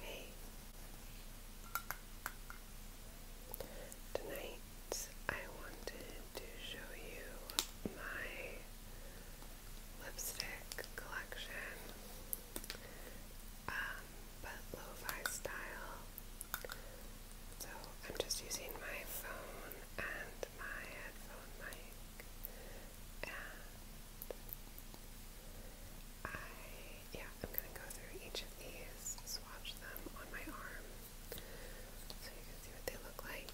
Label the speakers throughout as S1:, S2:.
S1: Hey, tonight I wanted to show you my lipstick collection, um, but lo-fi style. So I'm just using my phone and my headphone mic and I, yeah, I'm going to go through each of these, swatch them on my arm so you can see what they look like.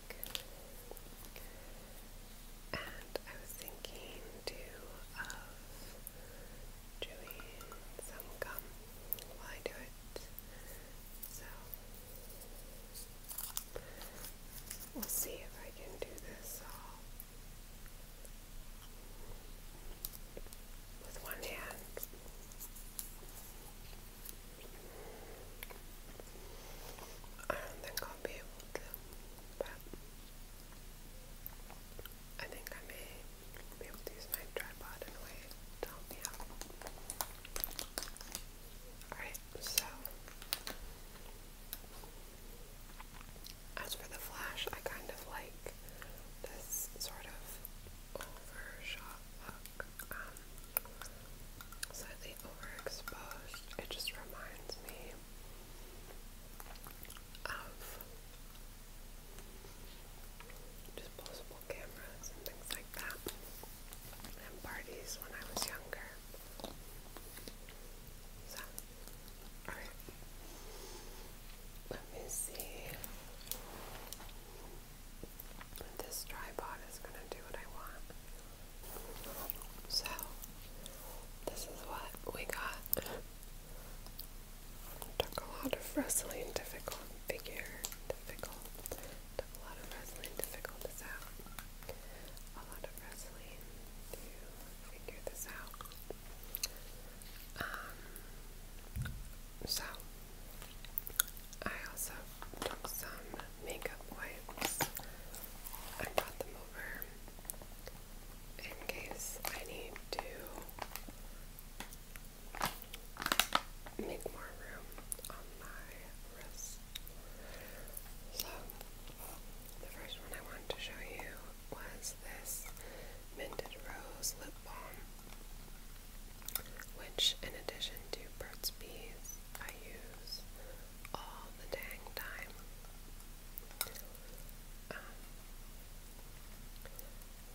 S1: And I was thinking too of doing some gum while I do it. So we'll see if I can do this all with one hand. I don't think I'll be able to, but I think I may be able to use my tripod in a me out. Alright, so as for the flash, I kind of like this sort of um, overexposed. It just reminds me of disposable cameras and things like that, and parties when I was younger. Alright. Let me see. This tripod is going to do what I want. So, this is what we got. Took a lot of wrestling difficult figure. Difficult. Took a lot of wrestling to figure this out. A lot of wrestling to figure this out. Um, so, I also took some makeup wipes and brought them over in case I need to make more room on my wrist. So, the first one I wanted to show you was this Minted Rose Lip Balm, which, in addition to Burt's Bees, I use all the dang time. Um,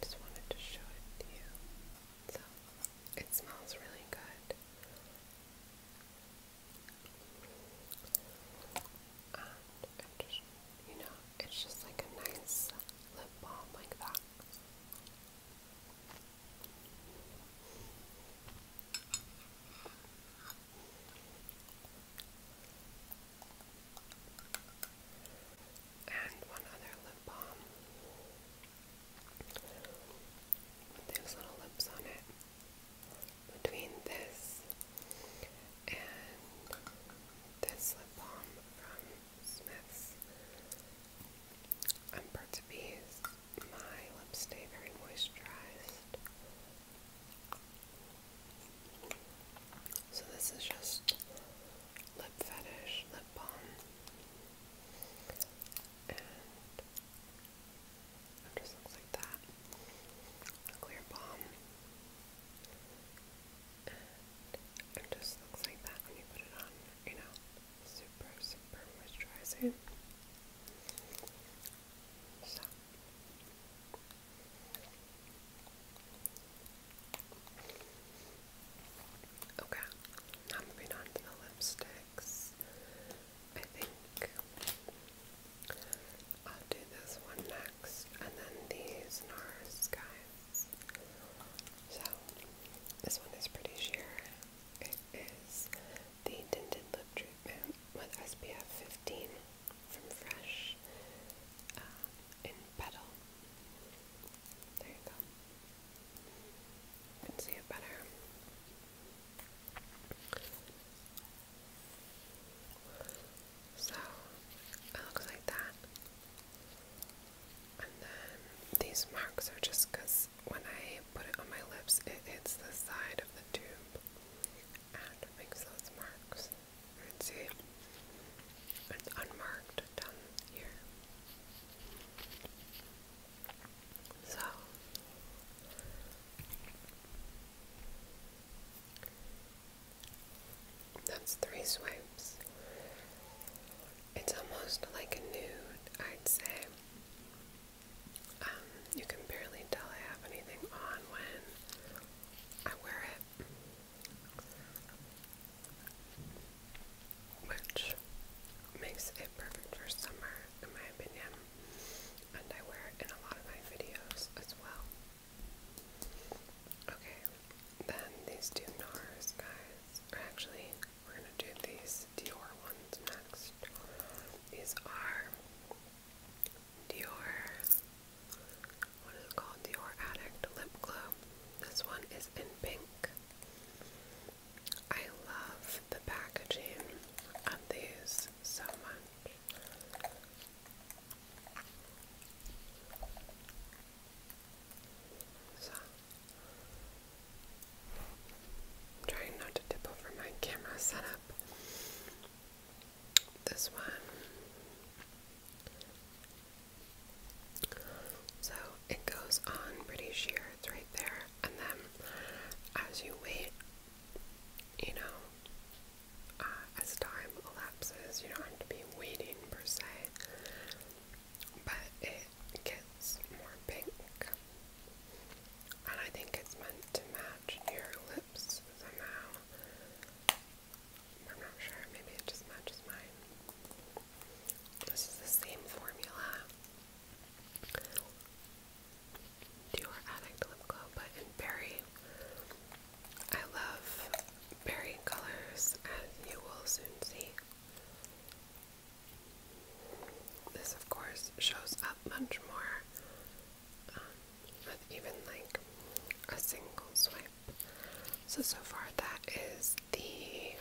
S1: just wanted to show it to you. So, it smells really good. And um, just, you know, it's just like a nice lip balm like that. And one other lip balm with those little lips on it. Between this and this lip balm from Smith's. I'm proud to be my lips very moisturized. So this is just lip fetish lip balm, and it just looks like that. A clear balm it just looks like that when you put it on, you know, super, super moisturizing. Okay, now moving on to the lipsticks. I think I'll do this one next, and then these NARS guys. So, this one is pretty sheer. It is the tinted lip treatment with SPF 15 from Fresh uh, in Petal. There you go. can see it better. So it looks like that. And then these marks are just because when I put it on my lips, it hits the side of the tube and it makes those marks. You can see it's unmarked down here. So that's three swipes. It's almost like a nude, I'd say. Um, you can barely tell I have anything on when I wear it. Which makes it perfect for summer, in my opinion. And I wear it in a lot of my videos as well. Okay, then these two NARS guys, actually, we're gonna do these Dior ones next. These are Dior, what is it called? Dior Addict Lip Glow. This one is in pink. I love the packaging of these so much. So, trying not to tip over my camera setup. This one. So, it goes on pretty sheer, it's right there. And then as you wait, you know, uh, as time elapses. You don't have to be waiting per se, but it gets more pink. And I think it's meant to match your lips somehow. I'm not sure, maybe it just matches mine. This is the same formula. Dior Addict Lip Glow, but in berry. I love berry colors, as you will soon see. This, of course, shows up much more um, with even like a single swipe. So, so far, that is the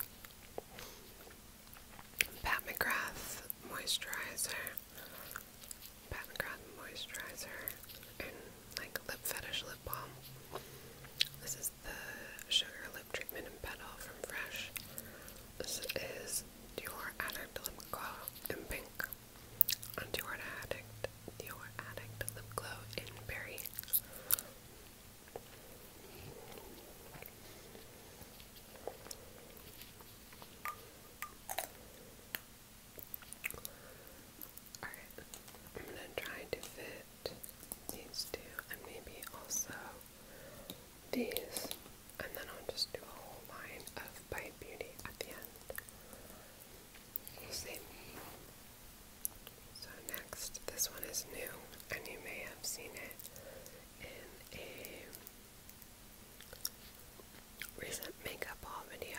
S1: Pat McGrath moisturizer. Pat McGrath moisturizer and like lip fetish lip balm. This is the sugar lip treatment in petal from Fresh. This is Dior Addict Lip Glow in pink. Dior Addict Dior Addict Lip Glow in berry. Alright, I'm gonna try to fit these two and maybe also these, and then I'll just do a whole line of Bite Beauty at the end. we So, next, this one is new, and you may have seen it in a recent makeup haul video.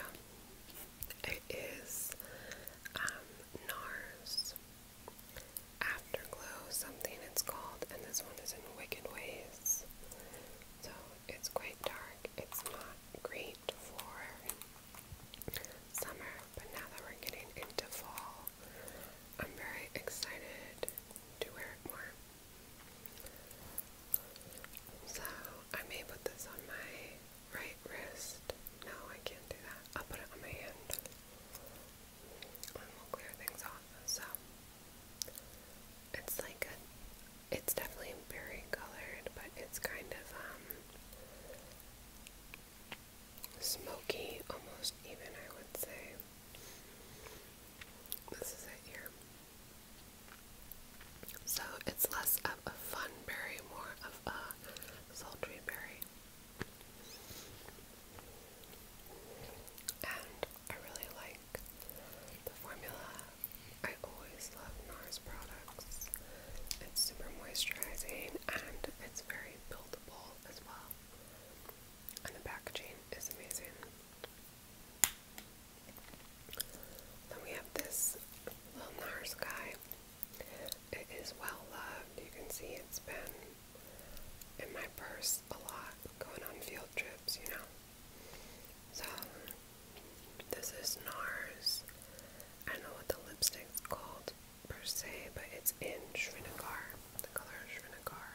S1: It is um, NARS Afterglow, something it's called, and this one is in Wicked Ways. So it's quite dark. It's not great for summer, but now that we're getting into fall, I'm very excited to wear it more. So I may put this on my right wrist. No, I can't do that. I'll put it on my hand. And we'll clear things off. So it's like a it's definitely berry colored, but it's kind of um, smoky almost even I would say. This is it here. So it's less of a fun berry, more of a sultry berry. And I really like the formula. I always love NARS products. It's super moisturizing and it's very buildable as well. And the packaging is amazing. Then we have this little NARS guy. It is well loved. You can see it's been in my purse a lot going on field trips, you know. So, this is NARS. I know what the lipstick's called per se, but it's in Srinagar. The color is Srinagar.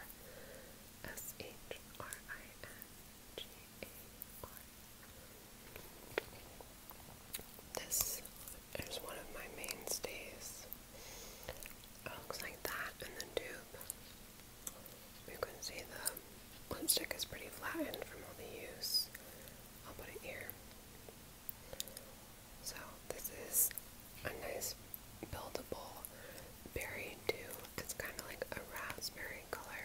S1: S H R I N G A R this is one of my mainstays. It looks like that in the tube. You can see the lipstick is pretty flattened from all the use. I'll put it here. So this is a nice buildable berry dew. It's kind of like a raspberry color.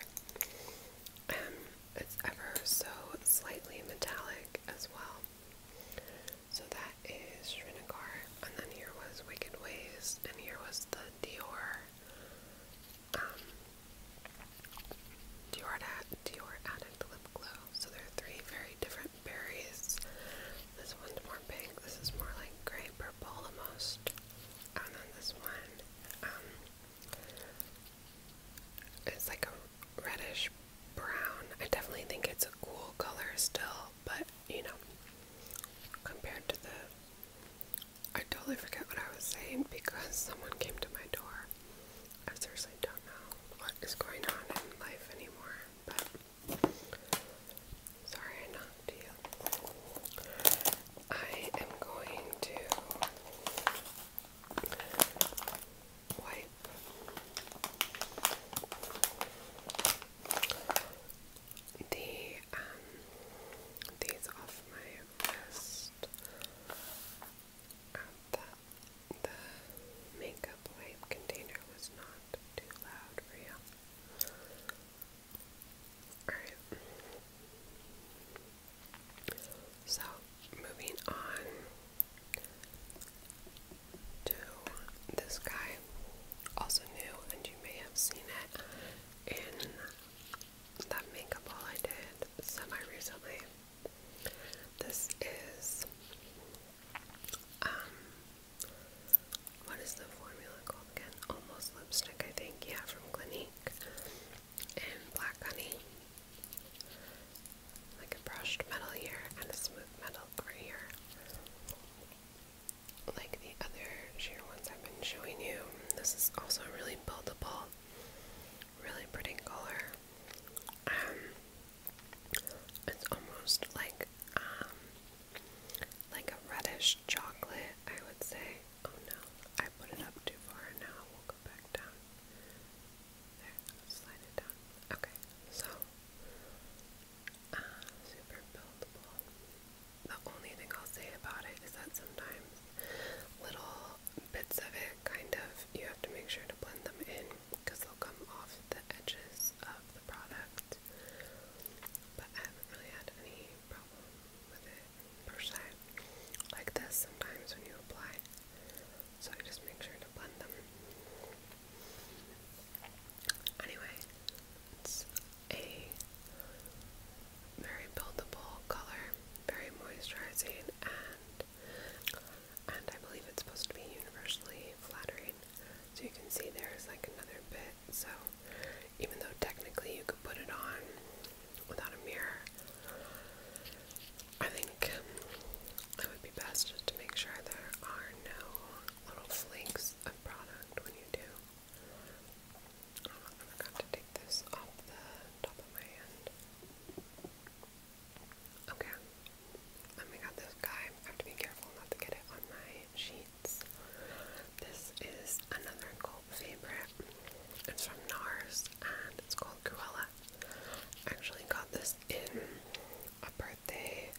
S1: Um, it's ever so slightly metallic as well. So that is Shrinagar, and then here was Wicked Ways, and here was the Dior, um, Dior, Dior Addict Lip Glow. So there are three very different berries. This one's more pink, this is more like gray purple almost, and then this one, um, it's like a reddish brown. I definitely think it's a cool color still, but you know, compared to the. I totally forget what I was saying because someone came to my door. I seriously don't know what is going on in life anymore, but. Sorry, I knocked you. I am going to wipe. The um these off my wrist um, the, the makeup wipe container was not too loud for you. Alright. So, moving on to this guy, also new, and you may have seen it in that makeup haul I did semi recently. This is, um, what is the formula called again? Almost lipstick, I think, yeah, from Clinique and black honey. Like a brushed metal here and a smooth metal over here. Like the other sheer ones I've been showing you. This is also really buildable, really pretty color. Um, it's almost like um, like a reddish chocolate, I would say. Oh no, I put it up too far now. We'll go back down. Okay, so uh, super buildable. The only thing I'll say about it is that sometimes little bits of it kind of you have to make sure to blend them in because they'll come off the edges of the product. But I haven't really had any problem with it per se. Like this sometimes when you apply so I just make sure to blend them. Anyway, it's a very buildable color, very moisturizing, and and I believe it's supposed to be universally flattering. So you can see there's like another bit. So even though technically you could put it on without a mirror, I think um, it would be best just to make sure there are no little flakes of product when you do. Oh, I forgot to take this off the top of my hand. Okay. Let me got this guy. have to be careful not to get it on my sheets. This is another cult favorite. It's from NARS and it's called Cruella Actually got this in a birthday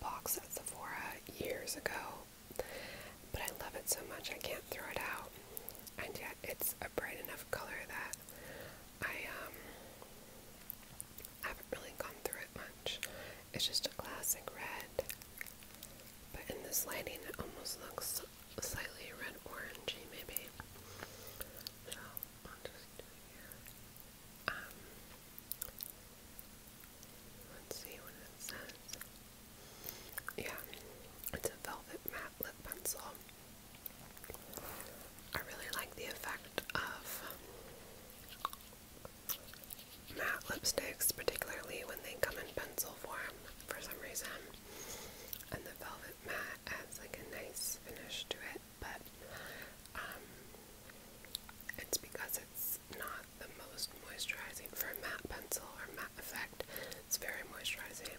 S1: box at Sephora years ago, but I love it so much I can't throw it out. And yet it's a bright enough color that I um haven't really gone through it much. It's just a classic red. But in this lighting, it almost looks slightly red orangey maybe. Um, let's see what it says. Yeah, it's a velvet matte lip pencil. I really like the effect of matte lipsticks, particularly when they come in pencil form for some reason and the velvet matte adds like a nice finish to it, but um, it's because it's not the most moisturizing for a matte pencil or matte effect. It's very moisturizing,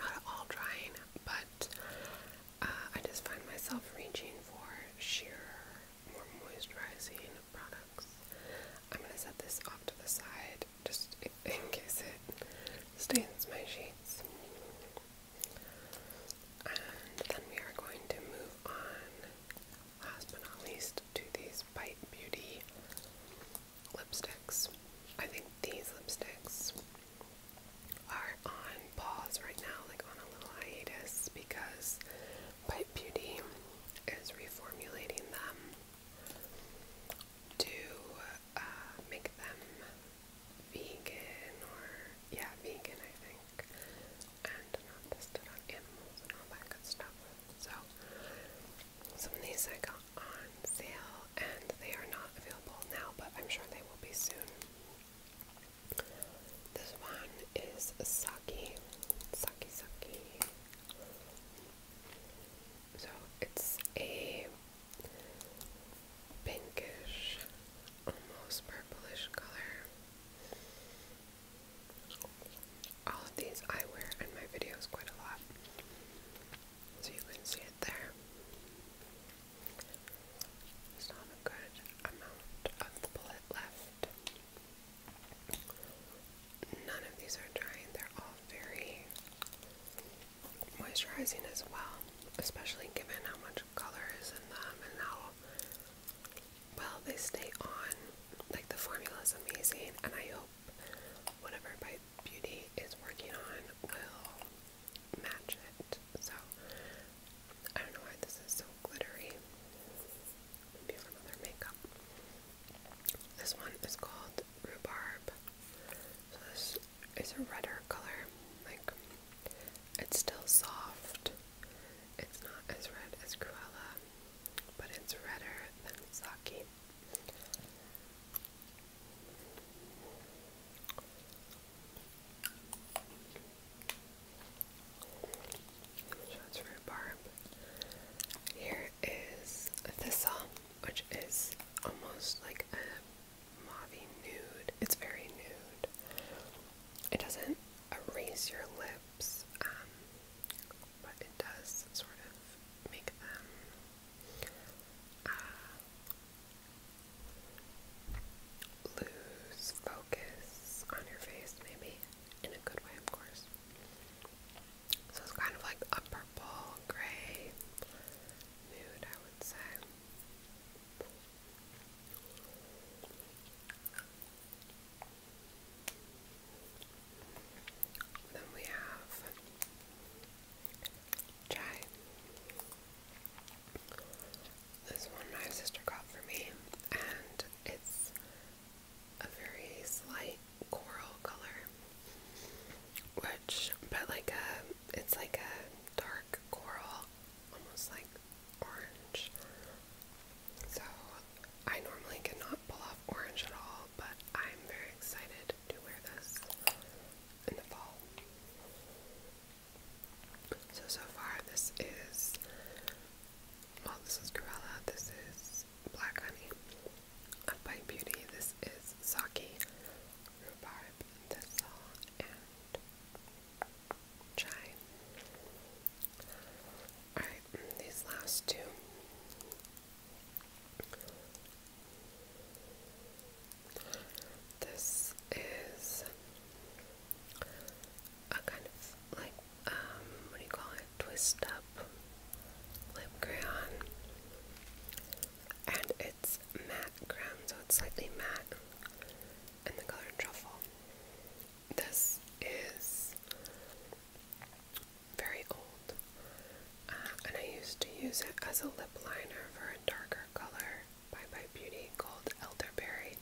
S1: not at all drying, but uh, I just find myself reaching for sheer, more moisturizing products. I'm going to set this off to the side just in case it stains my sheets. And then we are going to move on, last but not least, to these Bite Beauty lipsticks. I think these lipsticks are on pause right now, like on a little hiatus, because Bite Beauty is reformulating them to uh, make them vegan or yeah, vegan I think, and not tested on animals and all that good stuff. So some of these I got on sale and they are not available now, but I'm sure they will be soon. This one is Saki, Saki, Saki. So it's a pinkish, almost purplish color. All of these I wear in my videos quite a lot, so you can see it there. There's not a good amount of bullet left. None of these are drying, they're all very moisturizing as well, especially given how much color is in them and how well they stay on. Like the formula is amazing, and I hope whatever my Beauty is working on will match it. So I don't know why this is so glittery. Maybe from other makeup. This one is called Rhubarb. So this is a redder color. Like, it's still soft. It's not as red as Cruella, but it's redder than Saki. Shots for barb. Here is Thistle, which is almost like a mauvey nude. It's very nude. It doesn't erase your lips, um, but it does sort of make them uh, lose focus on your face, maybe in a good way, of course. So it's kind of like a purple gray nude, would Then we have chai. This one my sister got for me, and it's a very slight coral color, which, but like a, it's like a dark coral, almost like orange. So I normally cannot pull off orange at all, but I'm very excited to wear this in the fall. So, so far this is, well this is Cruella, this is Black Honey by Beauty, this is Saki, rhubarb, thistle, and chai. Alright, these last two. This is a kind of like, um, what do you call it? Twist up lip crayon. And it matte creme, so it's slightly matte, and the color truffle. This is very old, uh, and I used to use it as a lip liner for a darker color by Bye Beauty called Elderberry.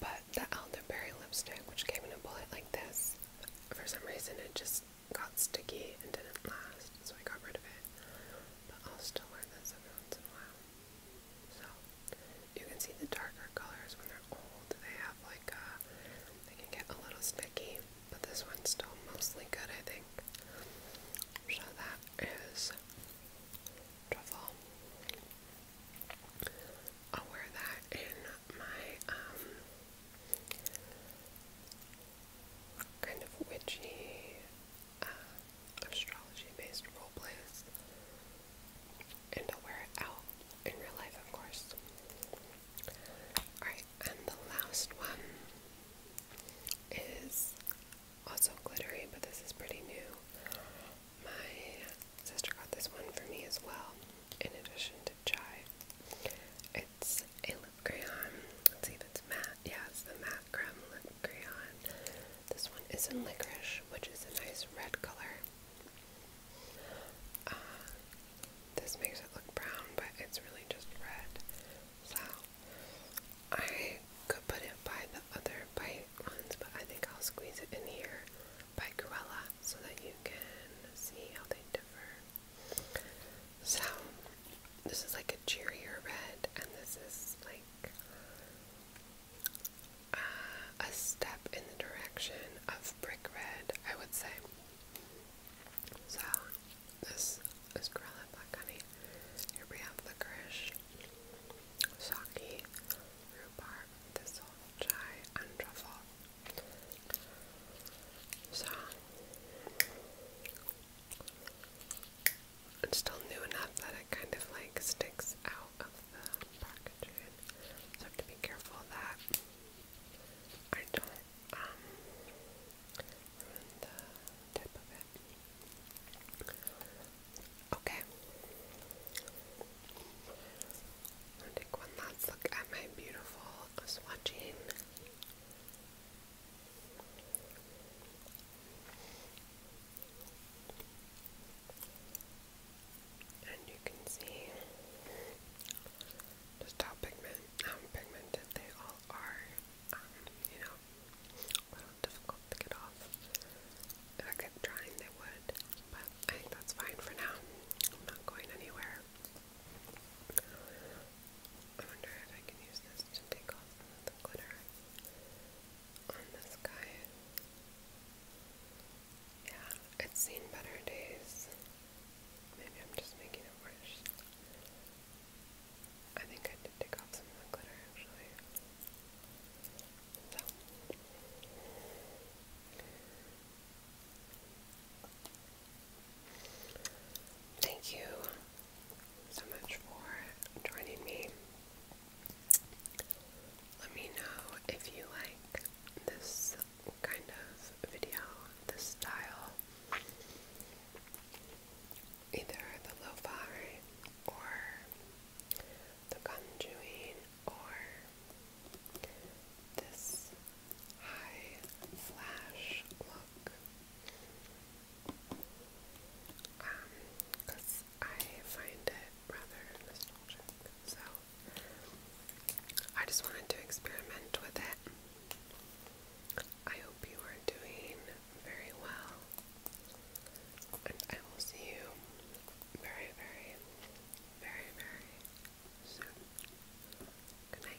S1: But the Elderberry lipstick, which came in a bullet like this, for some reason it just got sticky and didn't last, so I got rid of it. But I'll still wear this every once in a while. So you can see the darker colors when they're old. They have like a, uh, they can get a little sticky, but this one's still mostly good, I think. So that is truffle. I'll wear that in my um kind of witchy, uh, astrology based role plays. And I'll wear it out in real life, of course. Alright, and the last one is also glittery, but this is pretty new. My sister got this one for me as well, in addition to chai. It's a lip crayon. Let's see if it's matte. Yeah, it's the matte creme lip crayon. This one is in licorice, which is a nice red color. Uh, this makes it look brown, but it's really just red. So I could put it by the other bite ones, but I think I'll squeeze it in here by Cruella so that you can see how they differ. So, this is like a cheerier red, and this is like uh, a step in the direction of brick red, I would say. So, this is Gorilla Black Honey. Here we have licorice, sake, rhubarb, thistle, chai, and truffle. So, it's still new enough that it kind of like sticks out of the packaging. So be careful that I don't um, ruin the tip of it. Okay. take one last look at my beautiful swatching and you can see just how um, pigmented they all are. Um, you know, a little difficult to get off. If I kept trying, they would. But I think that's fine for now. I'm not going anywhere. I wonder if I can use this to take off some of the glitter on this guy. Yeah, it's seen better days. Maybe I'm just making it worse. I think I did take off some of the glitter actually. So. Thank you so much for joining me. Let me know if you like this kind of video, this style, either the lo-fi or the conjuring or this high flash because um, I find it rather nostalgic. So I just wanted to experiment with it. I hope you are doing very well, and I will see you very, very, very, very soon. Good night.